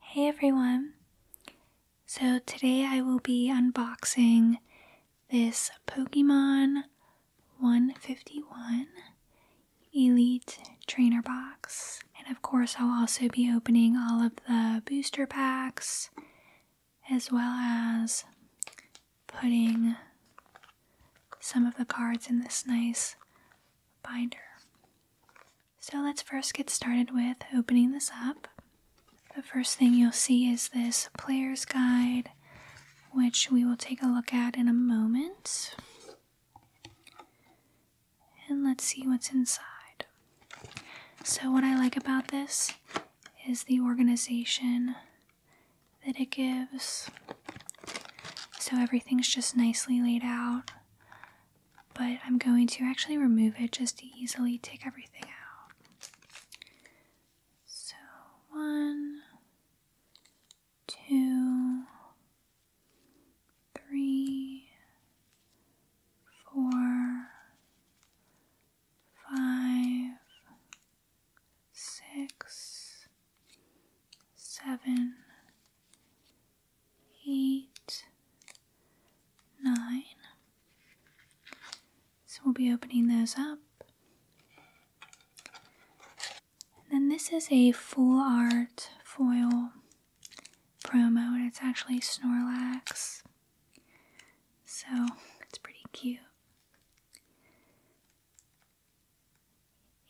Hey everyone! So today I will be unboxing this Pokemon 151 Elite Trainer Box. And of course, I'll also be opening all of the booster packs as well as putting some of the cards in this nice binder. So let's first get started with opening this up. The first thing you'll see is this player's guide, which we will take a look at in a moment. And let's see what's inside. So, what I like about this is the organization that it gives. So everything's just nicely laid out. But I'm going to actually remove it just to easily take everything out. So one, two, three, four, five, six, seven, eight, nine. So we'll be opening those up. And then this is a full art foil promo, and it's actually Snorlax. So it's pretty cute.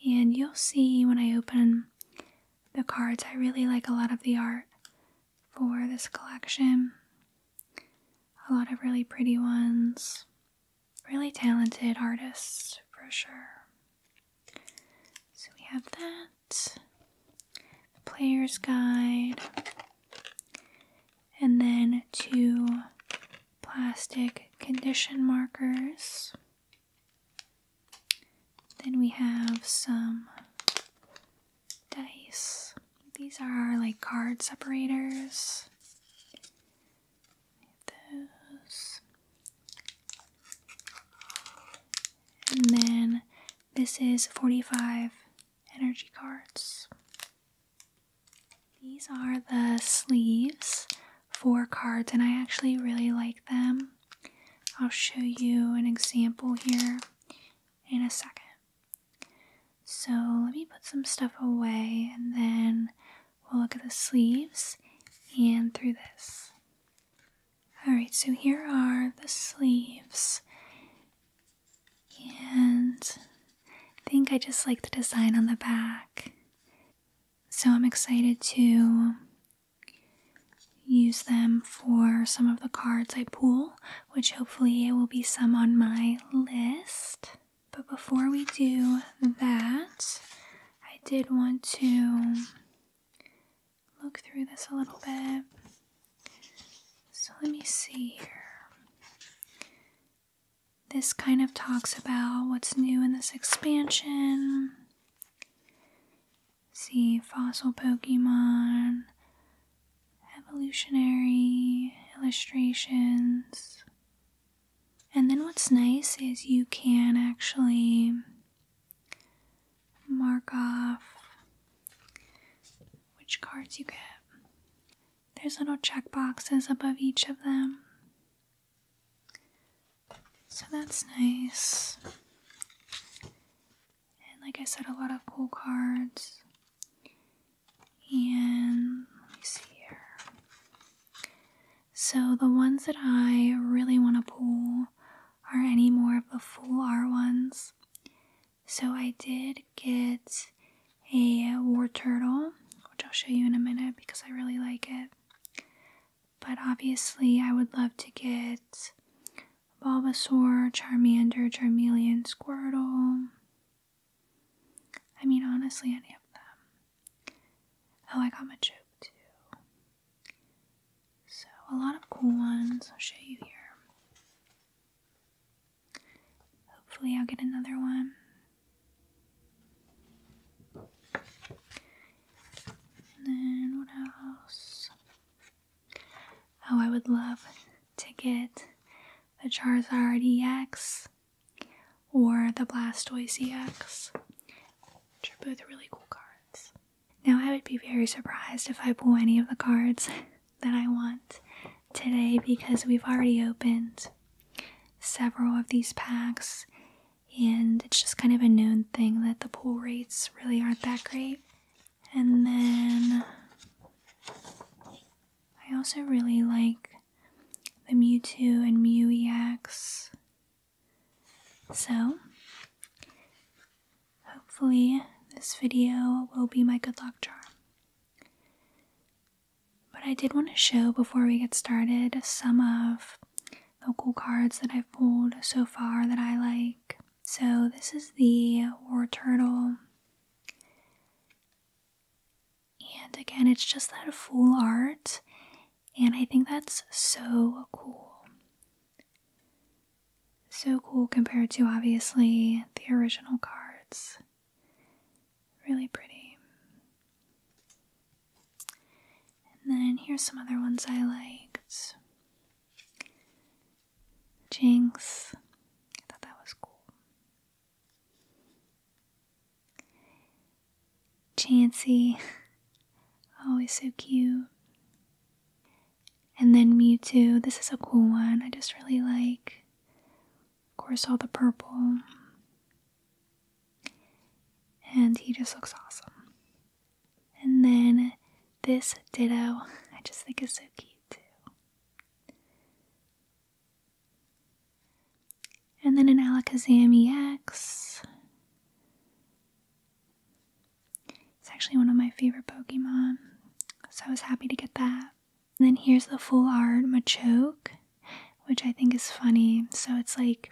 And you'll see when I open the cards, I really like a lot of the art for this collection. A lot of really pretty ones, really talented artists for sure. So we have that, the player's guide, and then two plastic condition markers. Then we have some dice. These are like card separators. Those. And then this is 45 energy cards. These are the sleeves for cards, and I actually really like them. I'll show you an example here in a second. So let me put some stuff away and then we'll look at the sleeves and through this. Alright, so here are the sleeves. And I think I just like the design on the back. So I'm excited to use them for some of the cards I pull, which hopefully it will be some on my list. But before we do that, I did want to look through this a little bit. So let me see here. This kind of talks about what's new in this expansion. See fossil Pokemon, evolutionary illustrations. And then what's nice is you can actually mark off which cards you get. There's little check boxes above each of them. So that's nice. And like I said, a lot of cool cards. And let me see here. So the ones that I really want to pull are any more of the full R ones. So I did get a war turtle, which I'll show you in a minute because I really like it. But obviously, I would love to get Bulbasaur, Charmander, Charmeleon, Squirtle. I mean, honestly, any of them. Oh, I got Machoke too. So, a lot of cool ones. I'll show you here. Hopefully, I'll get another one then what else? Oh, I would love to get the Charizard X or the Blastoise X. which are both really cool cards. Now, I would be very surprised if I pull any of the cards that I want today because we've already opened several of these packs, and it's just kind of a known thing that the pool rates really aren't that great. And then I also really like the Mewtwo and Mew So, hopefully, this video will be my good luck charm. But I did want to show before we get started some of the cool cards that I've pulled so far that I like. So this is the War Turtle. And again, it's just that full art. And I think that's so cool. So cool compared to obviously the original cards. Really pretty. And then here's some other ones I liked. Jinx. I thought that was cool. Chansey. Always so cute. And then Mewtwo. This is a cool one. I just really like, of course, all the purple. And he just looks awesome. And then this ditto, I just think is so cute too. And then an Alakazam EX. It's actually one of my favorite Pokemon, so I was happy to get that then here's the full art Machoke, which I think is funny. So it's like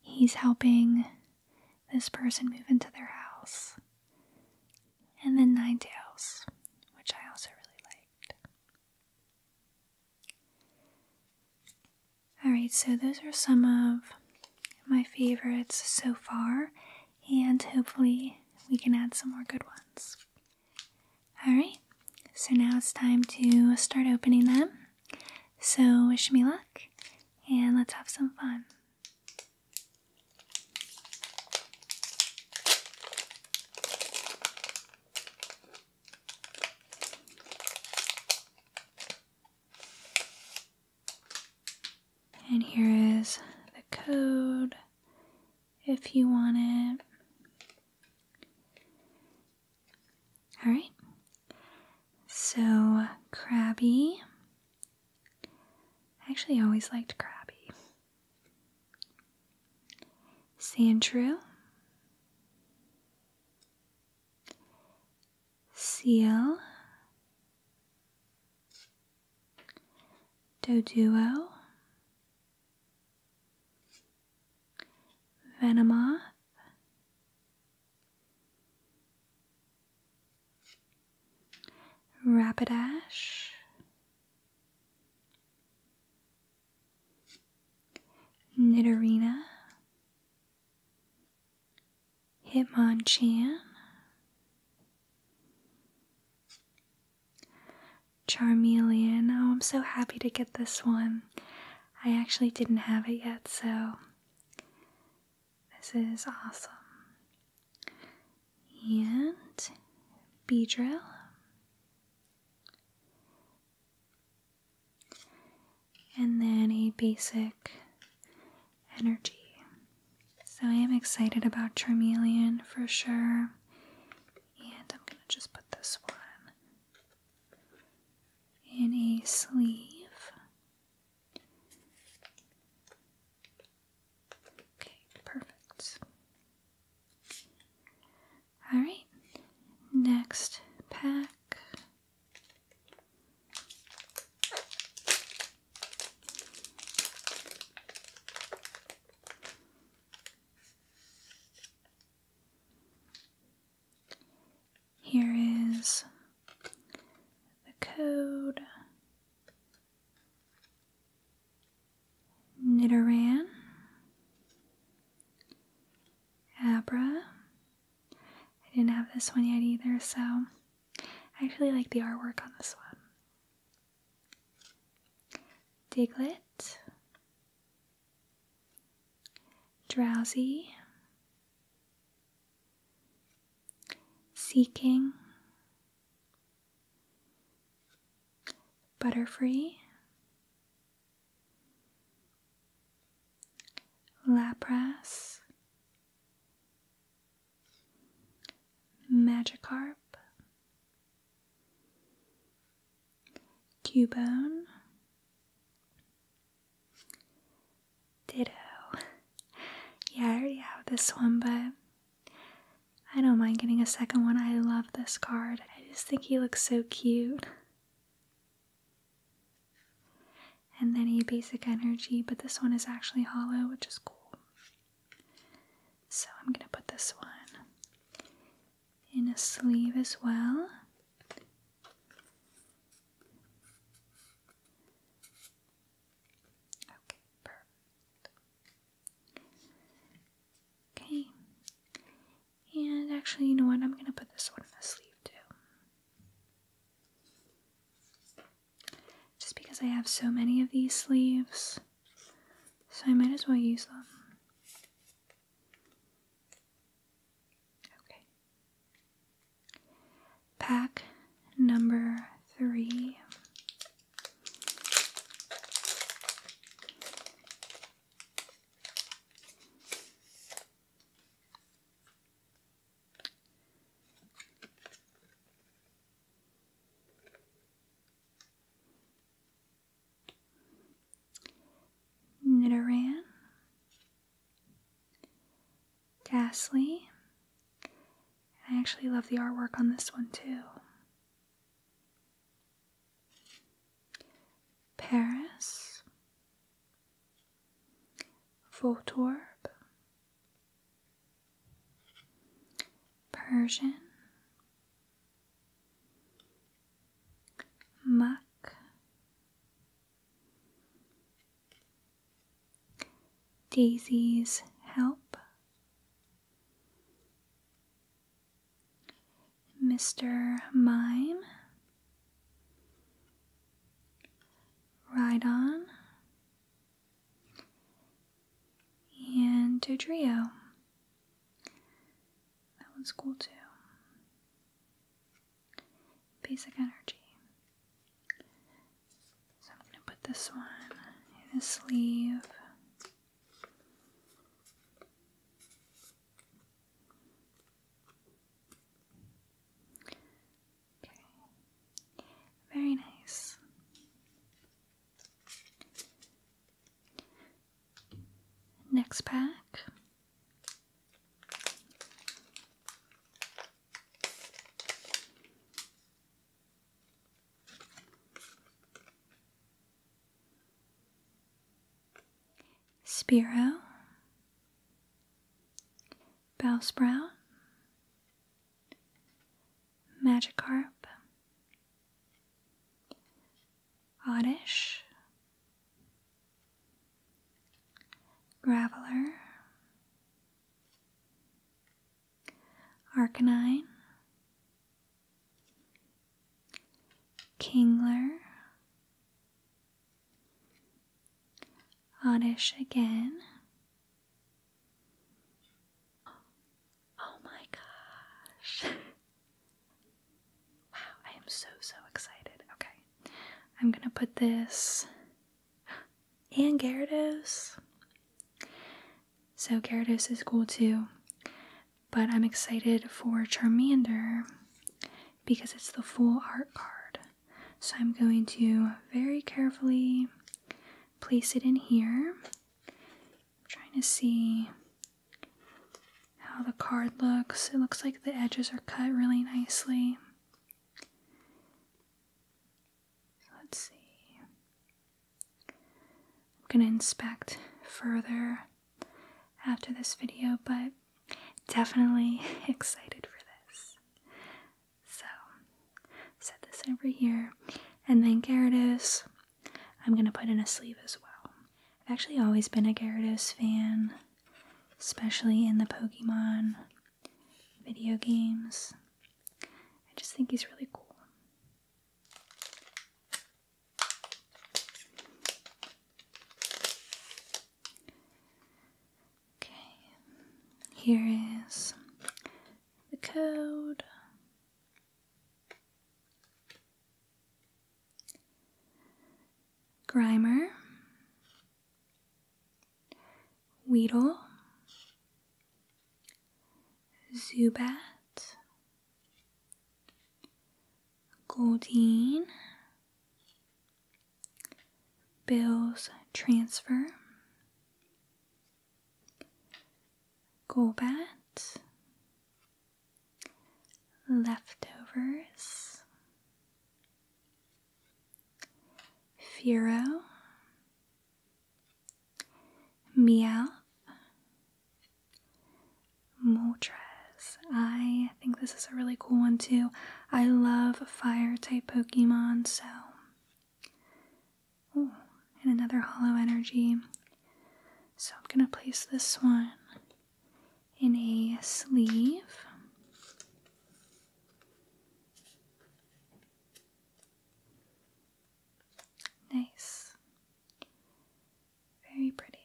he's helping this person move into their house. And then Nine Tails, which I also really liked. Alright, so those are some of my favorites so far, and hopefully we can add some more good ones. Alright, so now it's time to start opening them. So, wish me luck and let's have some fun. And here is the code if you want it. All right. So, Crabby. I actually always liked Krabby. Sandrew. Seal. Doduo. Venomoth, Rapidash, Nidorina, Hitmonchan, Charmeleon. Oh, I'm so happy to get this one. I actually didn't have it yet, so this is awesome. And Beedrill. And then a basic energy. So I am excited about Charmeleon for sure and I'm going to just put this one in a sleeve. Okay, perfect. Alright, next pack. Here is the code Nidoran, Abra. I didn't have this one yet either, so I actually like the artwork on this one. Diglett, drowsy, seeking, butterfree, lapras, magicarp. Cubone, Ditto. Yeah, I already have this one, but I don't mind getting a second one. I love this card. I just think he looks so cute. And then a basic energy, but this one is actually hollow, which is cool. So I'm gonna put this one in a sleeve as well. Okay, Okay, and actually, you know what? I'm gonna put this one in a sleeve too. Just because I have so many of these sleeves, so I might as well use them. Okay. Pack number three. Nidoran, Ghastly. I actually love the artwork on this one too. Paris, Voltorb, Persian, Mac Daisy's Help Mr. Mime Ride On and Dodrio. That one's cool too. Basic energy. So I'm gonna put this one in the sleeve. Okay. Very nice. Next pack. Spiro, Bow Bowsprout, Magikarp, Oddish, Graveler, Arcanine, Kingler, Oddish again. Oh my gosh. wow, I am so, so excited. Okay, I'm gonna put this and Gyarados. So Gyarados is cool too, but I'm excited for Charmander because it's the full art card. So I'm going to very carefully place it in here I'm trying to see how the card looks. It looks like the edges are cut really nicely. Let's see. I'm going to inspect further after this video, but definitely excited for this. So, set this over here. And then there it is. I'm gonna put in a sleeve as well. I've actually always been a Gyarados fan, especially in the Pokemon video games. I just think he's really cool. Okay, here is the code. Grimer, Weedle, Zubat, Goldeen, Bill's Transfer, Gobat, Leftovers, Firo, Meowth, Moltres. I think this is a really cool one too. I love fire type Pokemon, so Ooh, and another hollow energy. So I'm going to place this one in a sleeve. Nice. Very pretty.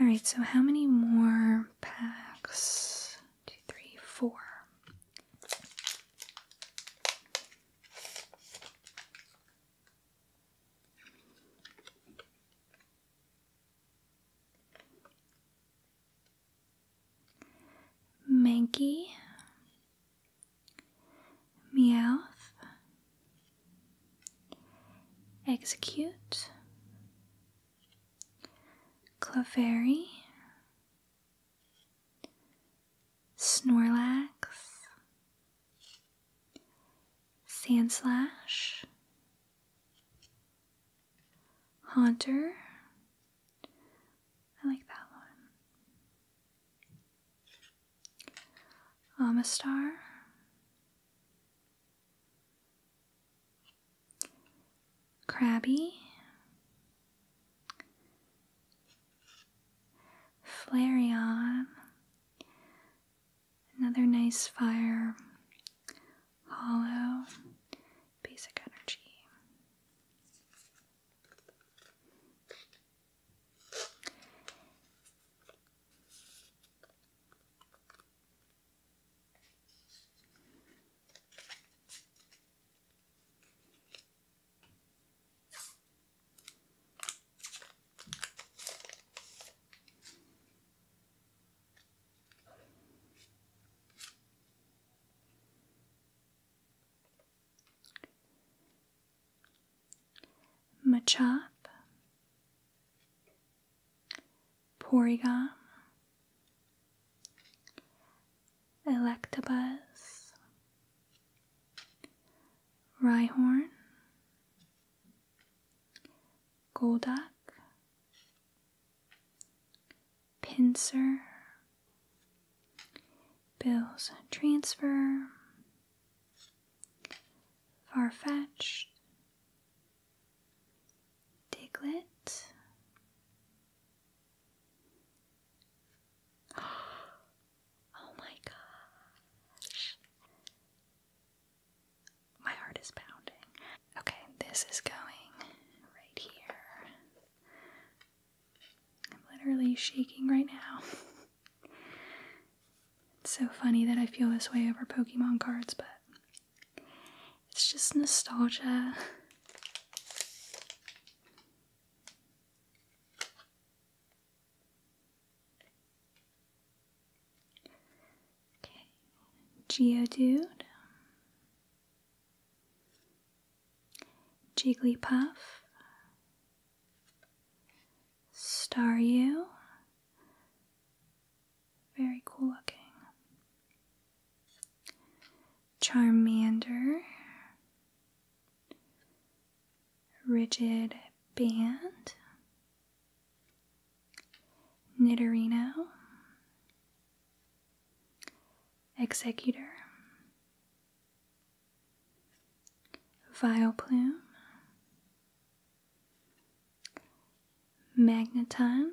Alright, so how many more packs two, three, four. Manky, Meow. Execute, Clefairy, Snorlax, Sandslash, Haunter. I like that one. Amistar, crabby, Flareon, another nice fire, hollow, basic energy. Machop, Porygon, Electabuzz, Rhyhorn, Golduck, Pincer, Bill's Transfer, Farfetch'd, Diglett, Oh my gosh. My heart is pounding. Okay, this is going right here. I'm literally shaking right now. it's so funny that I feel this way over Pokemon cards, but it's just nostalgia. Okay, Geodude, Jigglypuff, Staryu, very cool looking. Charmander, Rigid Band, Nidorino, Executor, Vileplume, Magneton,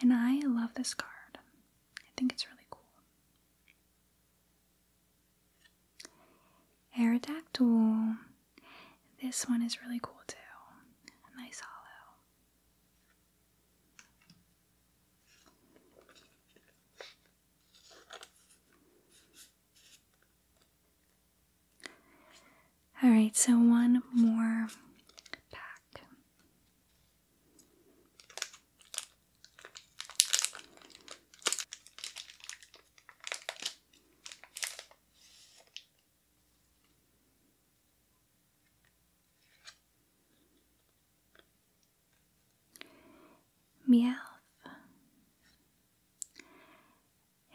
and I love this card. I think it's really cool. Aerodactyl. This one is really cool too. nice hollow. Alright, so one more pack. Meowth.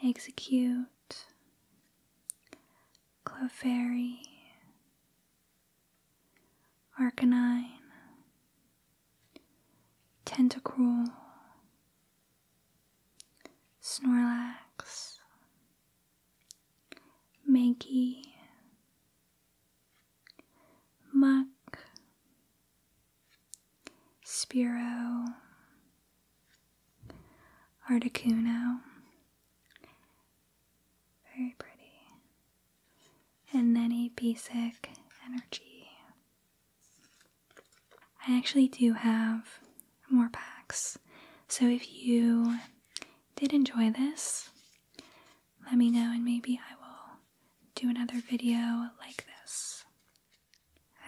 Execute. Clefairy. Arcanine, Tentacruel, Snorlax, Mankey, Muck, Spiro, Articuno, very pretty. And Nenny Basic Energy. I actually do have more packs. So if you did enjoy this, let me know and maybe I will do another video like this.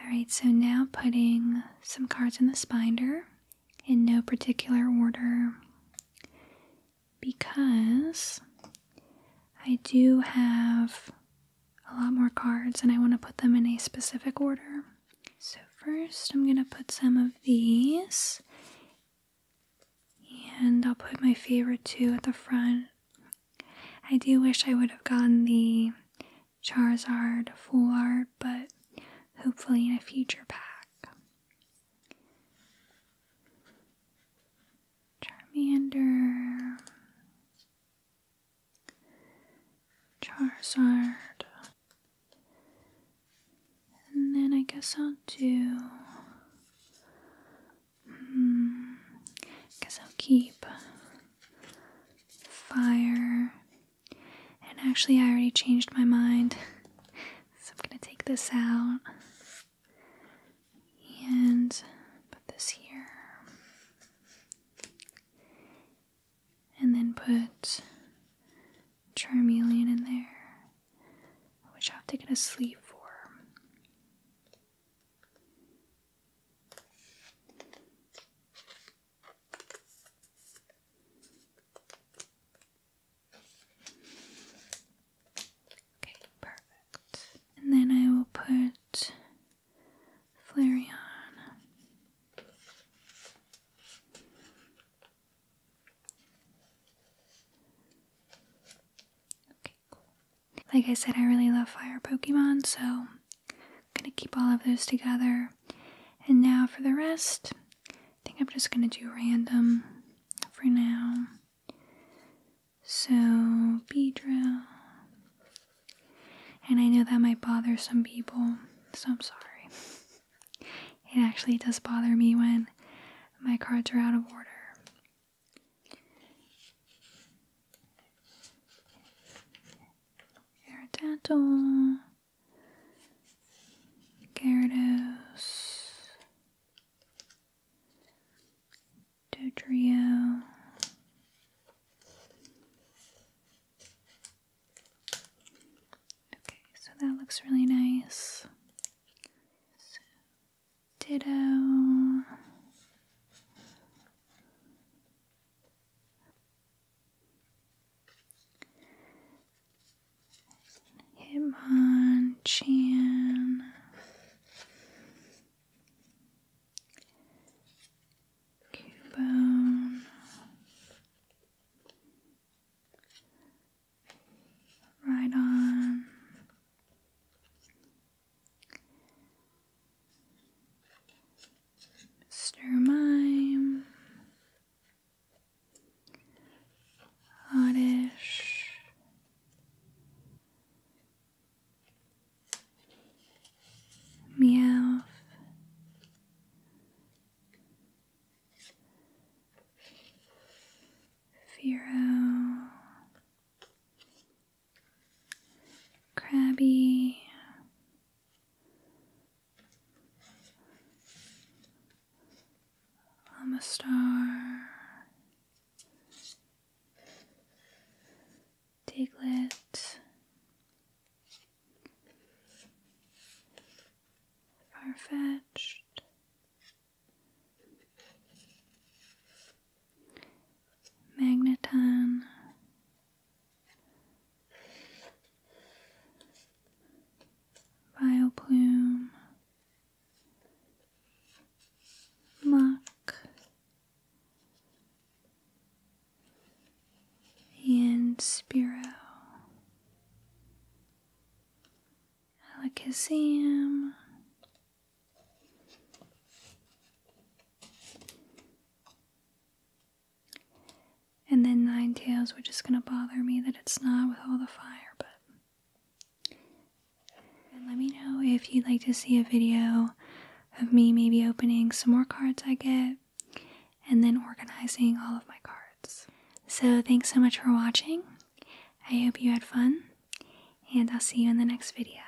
Alright, so now putting some cards in the binder in no particular order because I do have a lot more cards and I want to put them in a specific order. So, first, I'm going to put some of these, and I'll put my favorite two at the front. I do wish I would have gotten the Charizard full art, but hopefully in a future pack. Charmander, Charizard, and then I guess I'll do. Hmm, guess I'll keep fire. And actually, I already changed my mind. So I'm going to take this out and put this here. And then put Charmeleon in there, which I have to get a sleeve for. Okay, perfect. And then I will put Flareon. Okay, cool. Like I said, I really love fire Pokemon, so I'm gonna keep all of those together. And now for the rest, I think I'm just gonna do random for now. So, Pedro, And I know that might bother some people, so I'm sorry. It actually does bother me when my cards are out of order. Air tattle. Gyarados, Dodrio, oh. okay, so that looks really nice. Ditto. Hitmonchan. Cubone. Right Mr. Mime, oddish, meow, Firo, crabby, I'm a star. Diglett. Far-fetched. Magneton. Vileplume, Muck, and Spiro, Alakazam and then nine tails were just gonna bother me that it's not with all the fire but let me know if you'd like to see a video of me maybe opening some more cards I get and then organizing all of my cards so thanks so much for watching I hope you had fun and I'll see you in the next video